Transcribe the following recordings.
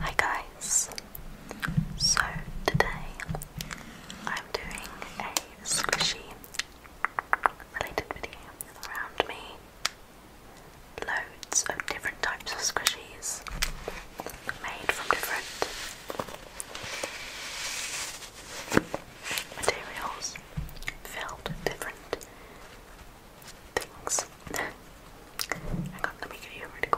Hi guys! So today I'm doing a squishy related video around me. Loads of different types of squishies made from different materials filled with different things. let me get you a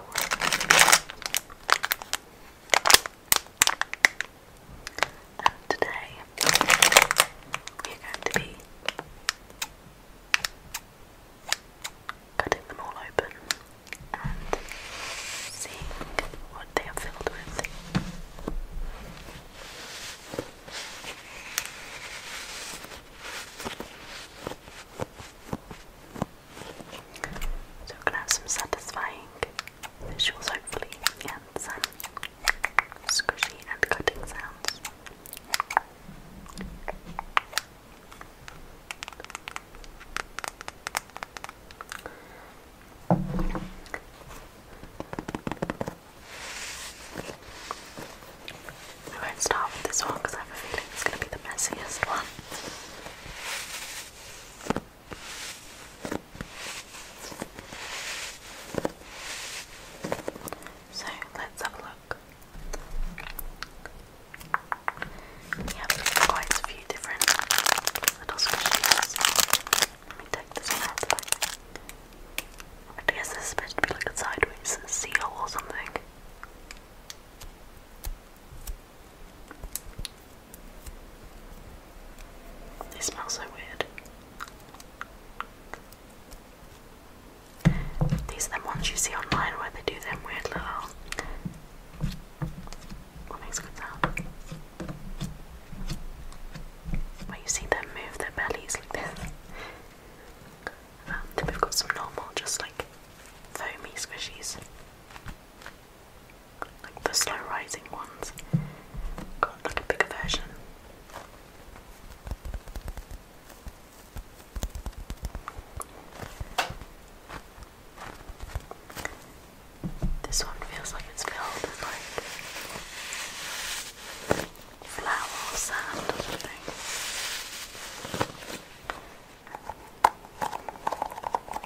And today we're going to be cutting them all open and seeing what they are filled with. So we're gonna have some satisfying visuals hopefully and some squishy and cutting sounds. I won't start with this one because I have a feeling it's going to be the messiest one. So let's have a look. We have quite a few different little squishies. Let me take this one out. I guess this is supposed to be like a sideways seal or something. They smell so weird. These are the ones you see online where they do them weird little. What makes a sound? Where you see them move their bellies like this. And um, we've got some normal, just like foamy squishies. Like the slow rising ones. Got like a bigger version. This one feels like it's filled with like flour or something.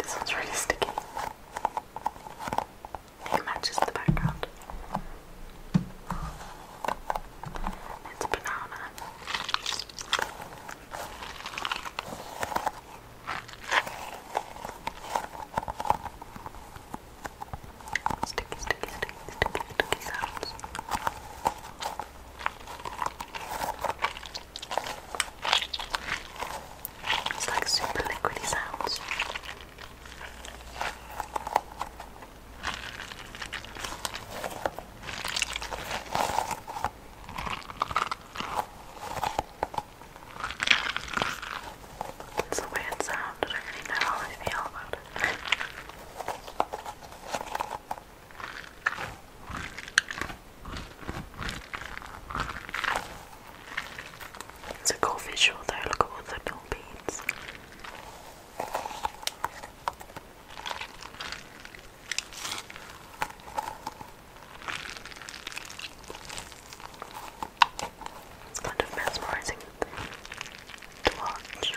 This one's really sticky. It matches the background. It's a banana. Sticky, sticky, sticky. It's like super liquidy sounds. It's weird sound, I do really feel about it. It's a cool visual though, look at all the little beads. It's kind of mesmerizing to watch.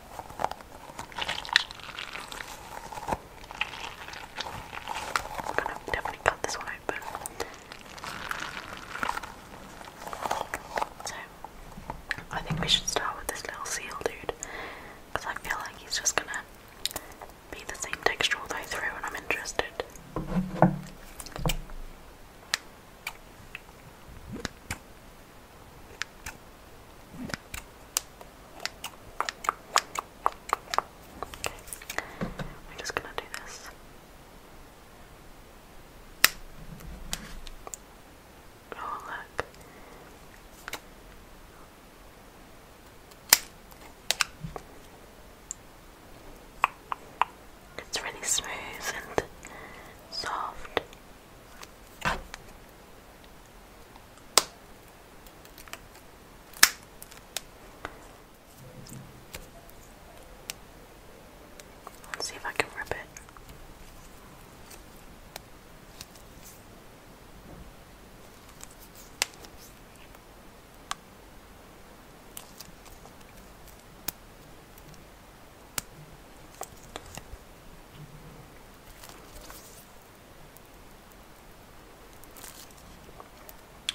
I'm gonna definitely cut this one So, I think we should start with this little seal dude, because I feel like he's just gonna be the same texture all the way through, and I'm interested we're just gonna do this. Oh, look. It's really smooth and soft. Let's see if I can rip it.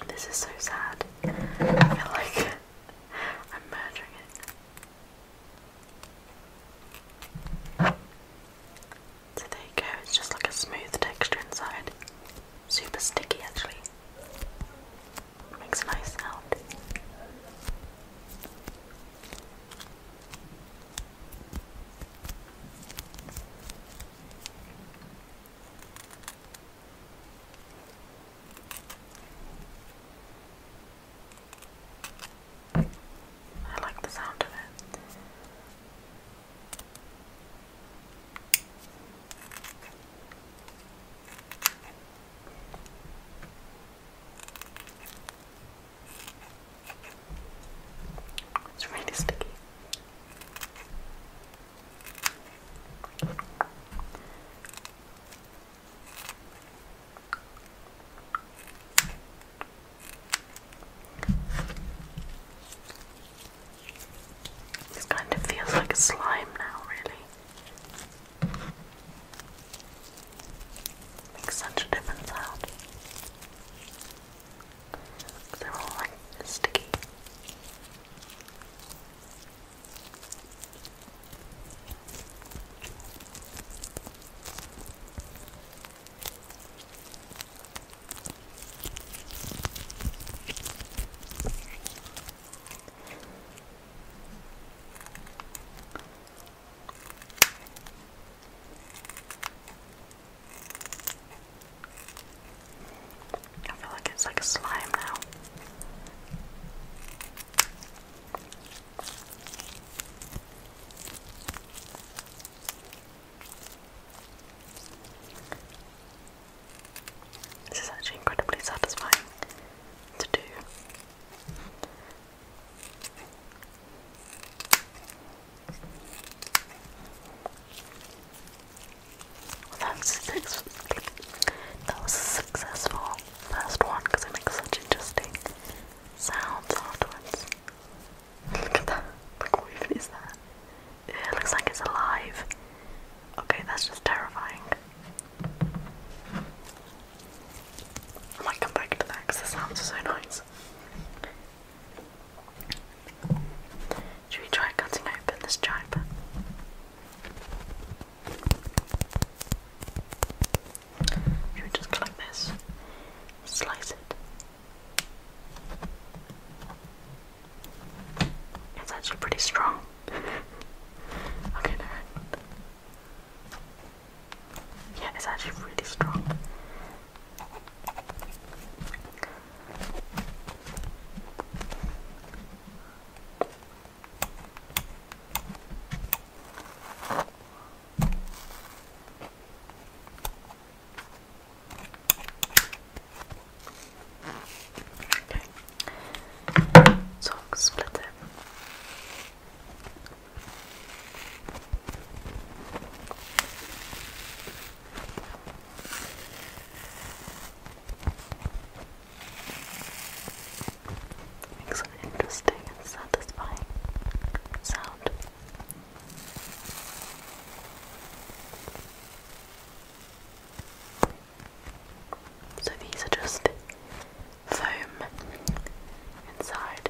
This is so sad. I feel like I'm murdering it. So there you go, it's just like a smooth texture inside. Super sticky actually. Makes a nice sound. I like the sound of it. It's really sticky. This kind of feels like slime now, really. Makes such a difference out. They're all like sticky. I feel like it's like a slime now. This is actually incredibly satisfying to do. That was successful first one because I make such interesting sounds afterwards. Look at that. Like, what even is that? It looks like it's alive. Okay, that's just terrifying. I might come back to that because the sounds are so nice. Should we try cutting open this tribe? Should we just go this? Slice it. It's actually pretty strong. okay, no. Yeah, it's actually really strong. Okay. So split it. Makes an interesting and satisfying sound. So these are just foam inside.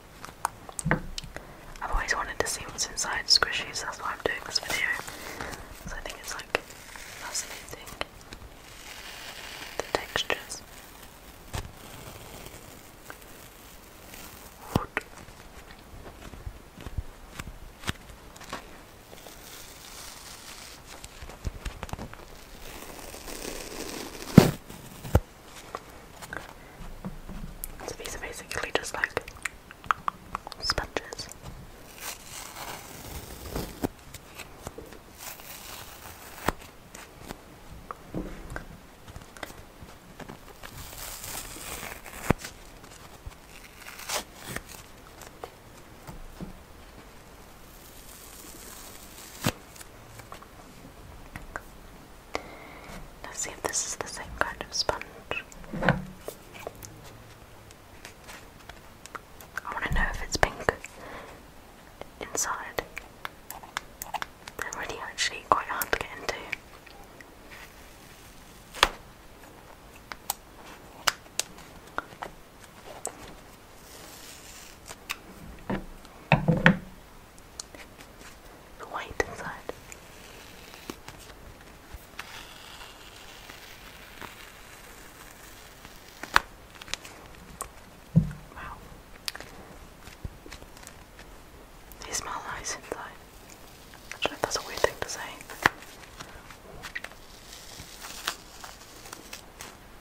I've always wanted to see what's inside squishies, that's why I'm doing this video. So I think it's like fascinating. The textures. So these are basically just like sponges. Let's see if this is the same kind of sponge. I want to know if it's pink inside. they really actually quite hard to get into the white inside. Wow. They smell nice inside. that's a weird thing to say.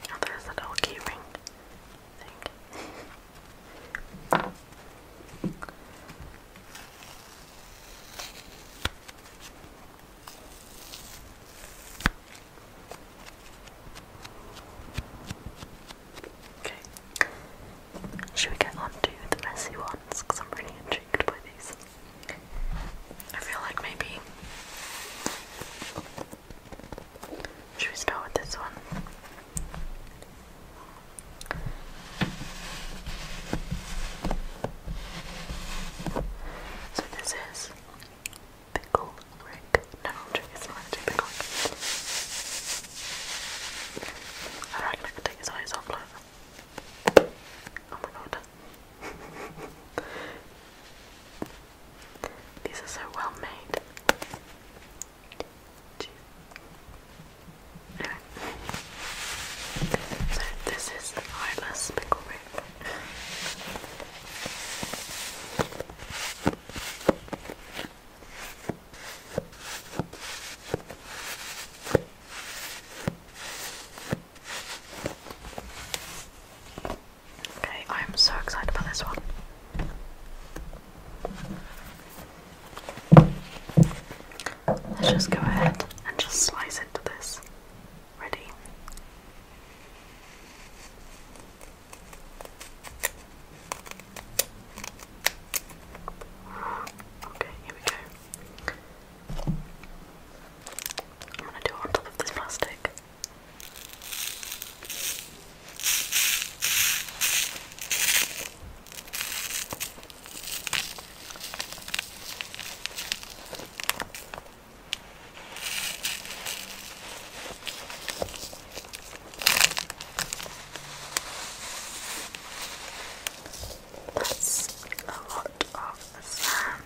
oh, there's that old keyring thing. Okay. Should we get on to the messy ones? Because I'm really intrigued by these. I feel like maybe. Should we start with this one? So this is pickle rick. No, it's not actually pickle I reckon I could take his eyes off Oh my god. These are so well made. So this is the eyeless pickle whip. Okay, I'm so excited about this one. Let's just go ahead and just slice into this. Ready? Okay, here we go. I'm going to do it on top of this plastic. That's a lot of sand.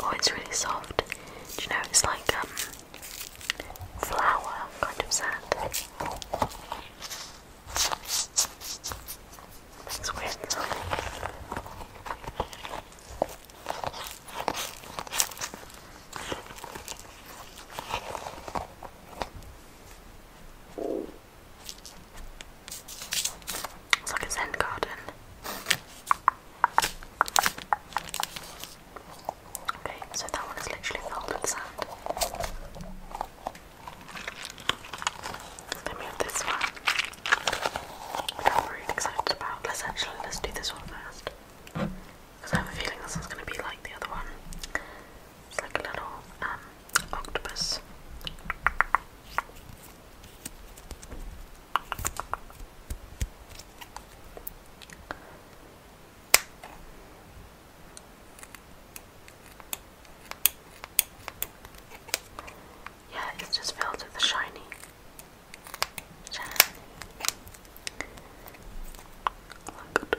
Oh, it's really soft. Do you know, it's like um, flour kind of sand. It's weird. It's like a zen garden. Okay, so that one is literally filled with sand. Let me have this one. I'm really excited about. Let's actually let's do this one first. Because I have a feeling this one's gonna be like the other one. It's like a little um, octopus. Yeah, it's just filled with the shiny. Shiny. Look.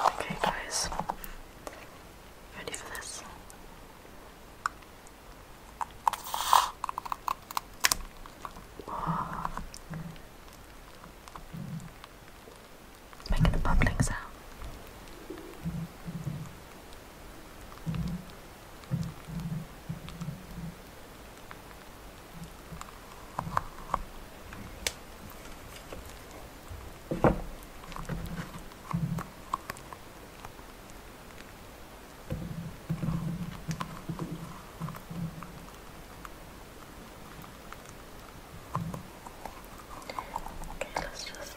Okay, guys, ready for this? Oh. Making a bubbling sound. Okay, let's just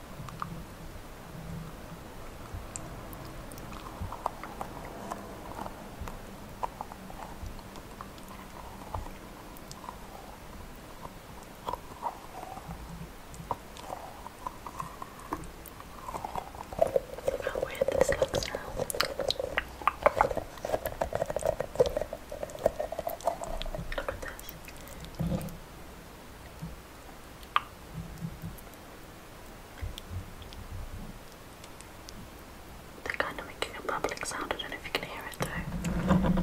How weird this looks now. Look at this. They're kind of making a bubbling sound, I don't know if you can hear it though.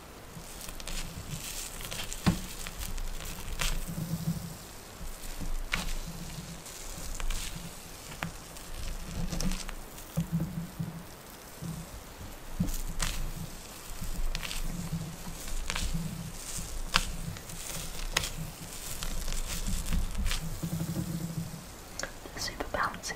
Super bouncy.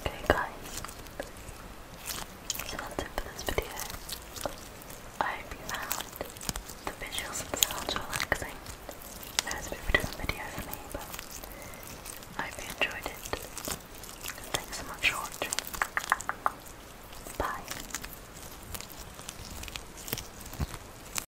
Okay guys, so that's it for this video. I hope you found the visuals themselves relaxing. That was a bit of a different video for me, but I hope you enjoyed it. Thanks so much for watching. Bye.